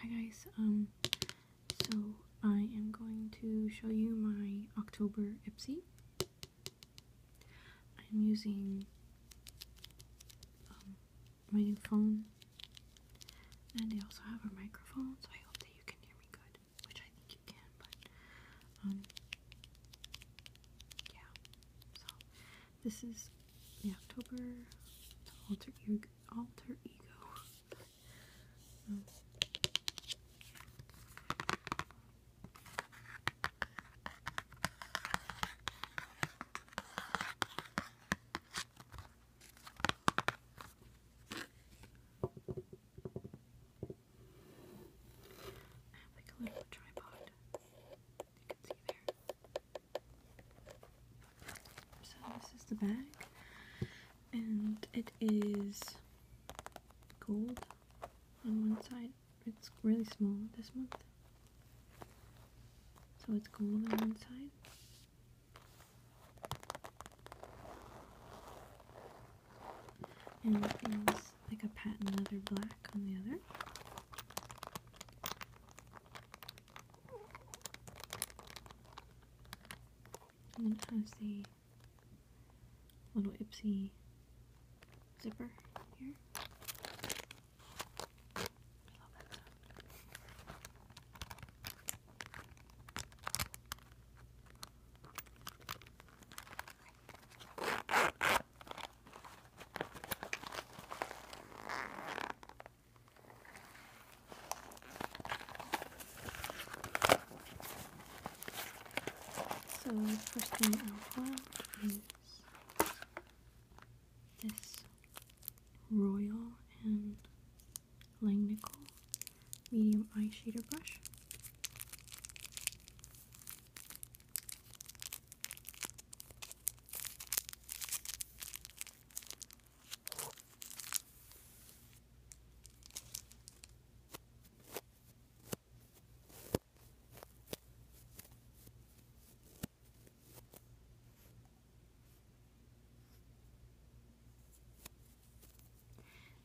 Hi guys, um, so I am going to show you my October Ipsy. I'm using um, my phone, and I also have a microphone, so I hope that you can hear me good, which I think you can, but, um, yeah, so this is the October alter ego. Alter ego. have like a little tripod. So this is the bag, and it is gold on one side. It's really small this month. So it's gold on one side. And it is like a patent leather black on the other. And then it has the little Ipsy zipper here. I love that so the first thing I want is this Royal and Langnickel medium eye shader brush.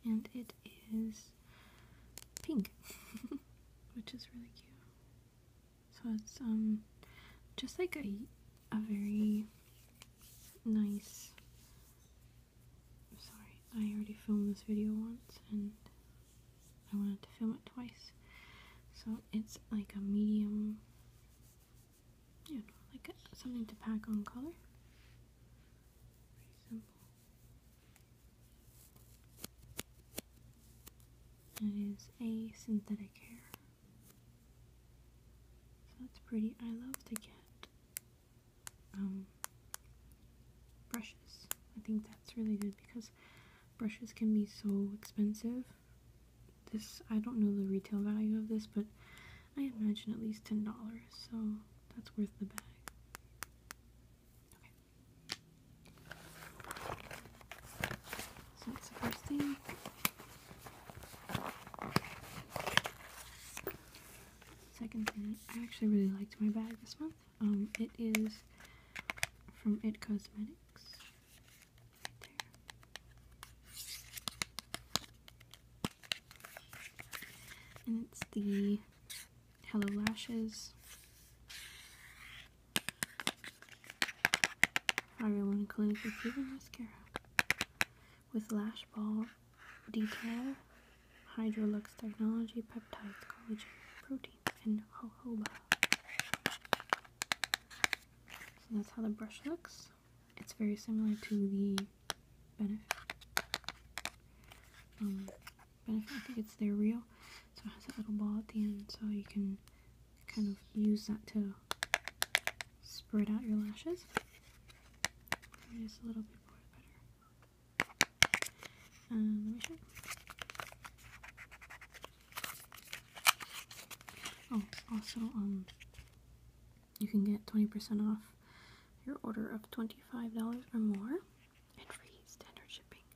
And it is pink, which is really cute. So it's um just like a a very nice i sorry, I already filmed this video once and I wanted to film it twice. So it's like a medium you like something to pack on color. It is a synthetic hair. So that's pretty. I love to get um, brushes. I think that's really good because brushes can be so expensive. This, I don't know the retail value of this, but I imagine at least $10, so that's worth the bag. Okay. So that's the first thing. Second thing, I actually really liked my bag this month. Um, it is from It Cosmetics. and it's the Hello Lashes. Everyone Clinical Fever Mascara. With Lash Ball Detail, Hydrolux Technology, Peptides, Collagen, protein, and Jojoba. So that's how the brush looks. It's very similar to the Benefit. Um, but I think it's their real, So it has that little ball at the end, so you can kind of use that to spread out your lashes. just a little bit more better. Um, let me show. Oh, also, um, you can get 20% off your order of $25 or more free standard shipping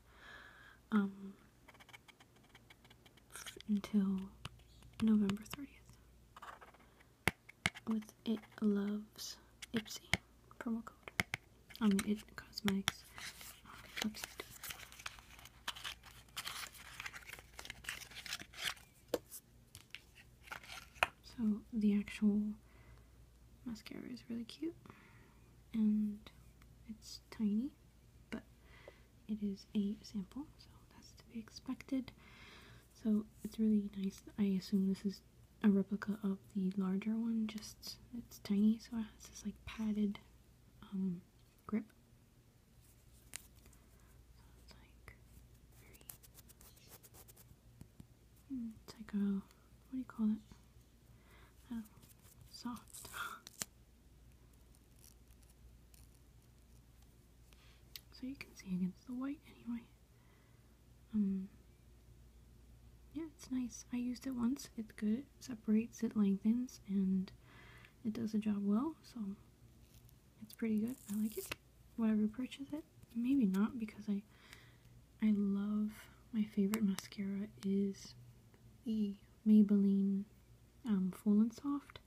um, until November 30th with It Loves Ipsy promo code. I mean, It Cosmetics So the actual mascara is really cute and it's tiny but it is a sample so that's to be expected so it's really nice I assume this is a replica of the larger one just it's tiny so it has this like padded um, grip it's like a, what do you call it? I don't soft. so you can see against the white anyway. Um, yeah, it's nice. I used it once. It's good. It separates, it lengthens, and it does the job well. So it's pretty good. I like it. Would I repurchase it? Maybe not because I I love my favorite mascara is the Maybelline um, Full and Soft.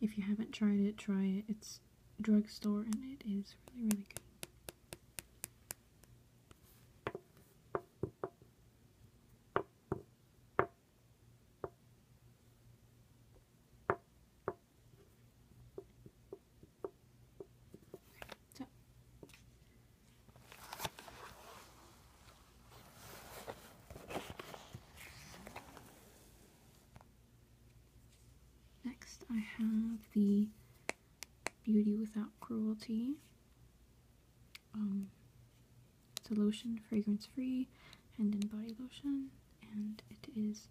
If you haven't tried it, try it. It's drugstore and it is really, really good. Next, I have the Beauty Without Cruelty. Um, it's a lotion, fragrance free, hand and body lotion, and it is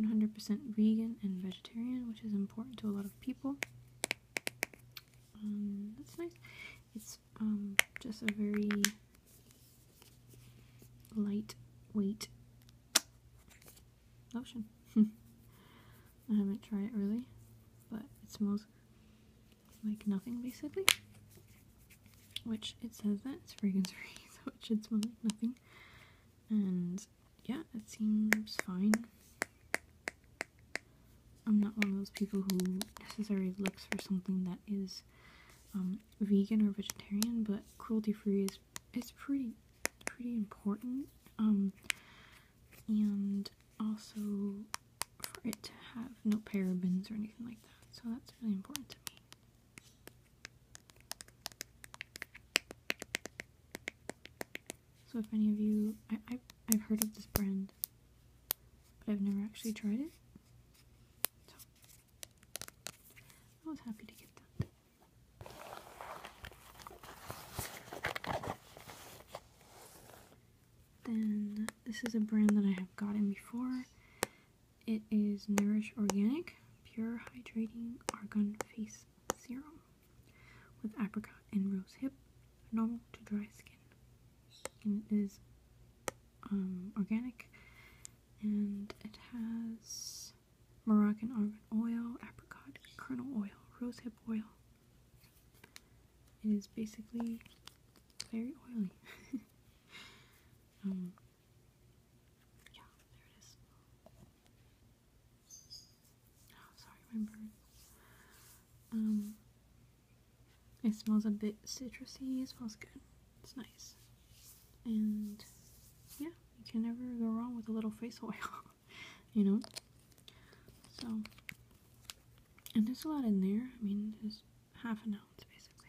100% vegan and vegetarian, which is important to a lot of people. Um, that's nice. It's um, just a very lightweight lotion. I haven't tried it really, but it smells like nothing basically. Which it says that it's fragrance free, so it should smell like nothing. And yeah, it seems fine. I'm not one of those people who necessarily looks for something that is um, vegan or vegetarian, but cruelty-free is it's pretty pretty important. Um, and also for it to have no parabens or anything like that, so that's really important to me. So if any of you, I, I, have heard of this brand, but I've never actually tried it. So I was happy to get that. Then this is a brand that I have gotten before, it is Nourish Organic Pure Hydrating Argan Face Serum with apricot and rose hip, normal to dry skin. And it is um, organic and it has Moroccan argan oil, apricot kernel oil, rose hip oil. It is basically very oily. Um, yeah, there it is. Oh, sorry, my bird. Um, it smells a bit citrusy. It smells good. It's nice. And yeah, you can never go wrong with a little face oil, you know? So, and there's a lot in there. I mean, there's half an ounce basically.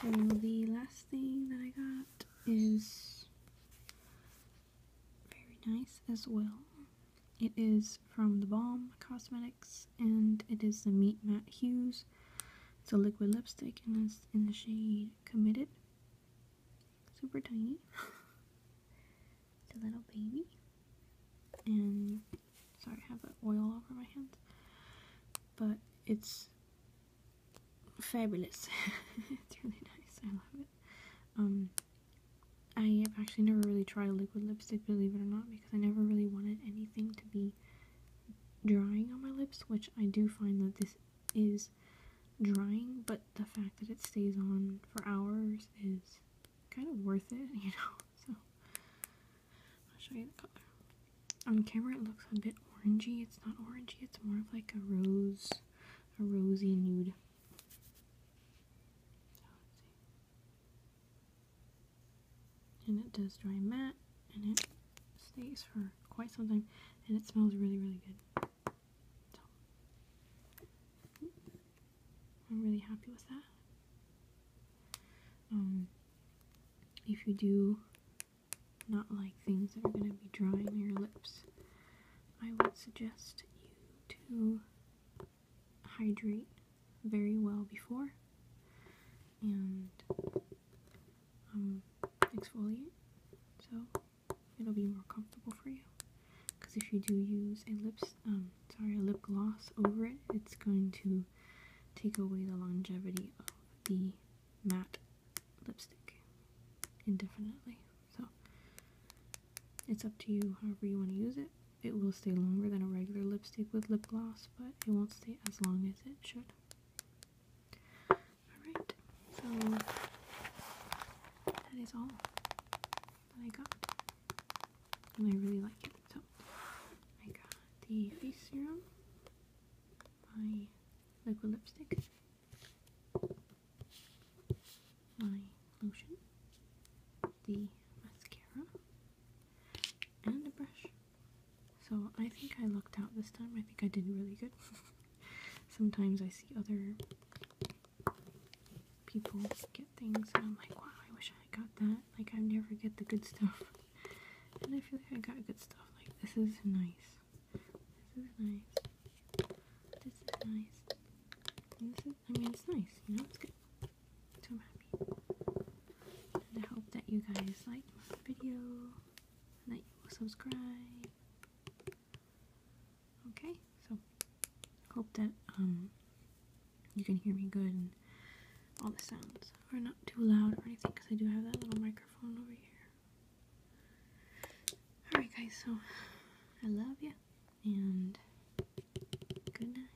So the last thing that I got is very nice as well. It is from the Bomb Cosmetics and it is the Meet Matt Hughes. It's a liquid lipstick and it's in the shade committed. Super tiny. it's a little baby. And sorry, I have oil all over my hands. But it's fabulous. it's really nice. I love it. Um I have actually never really tried a liquid lipstick, believe it or not, because I never really wanted anything to be drying on my lips, which I do find that this is drying, but the fact that it stays on for hours is kind of worth it, you know. So I'll show you the color. On camera it looks a bit orangey. It's not orangey, it's more of like a rose, a rosy nude and it does dry matte and it stays for quite some time and it smells really really good I'm really happy with that um, if you do not like things that are going to be drying your lips I would suggest you to hydrate very well before and um, exfoliant, so it'll be more comfortable for you. Because if you do use a lips, um, sorry, a lip gloss over it, it's going to take away the longevity of the matte lipstick indefinitely. So it's up to you however you want to use it. It will stay longer than a regular lipstick with lip gloss, but it won't stay as long as it should. Alright, so that is all that I got. And I really like it. So I got the face serum, my liquid lipstick, my lotion, the mascara, and a brush. So I think I lucked out this time. I think I did really good. Sometimes I see other people get things and I'm like, wow, I wish I got that. Like, I never get the good stuff. And I feel like I got good stuff. Like, this is nice. This is nice. This is nice. this is, I mean, it's nice, you know, it's good so I'm happy. And I hope that you guys like my video and that you will subscribe. Okay, so hope that um you can hear me good and all the sounds are not too loud or anything because I do have that little microphone over here. Alright guys, so I love you and good night.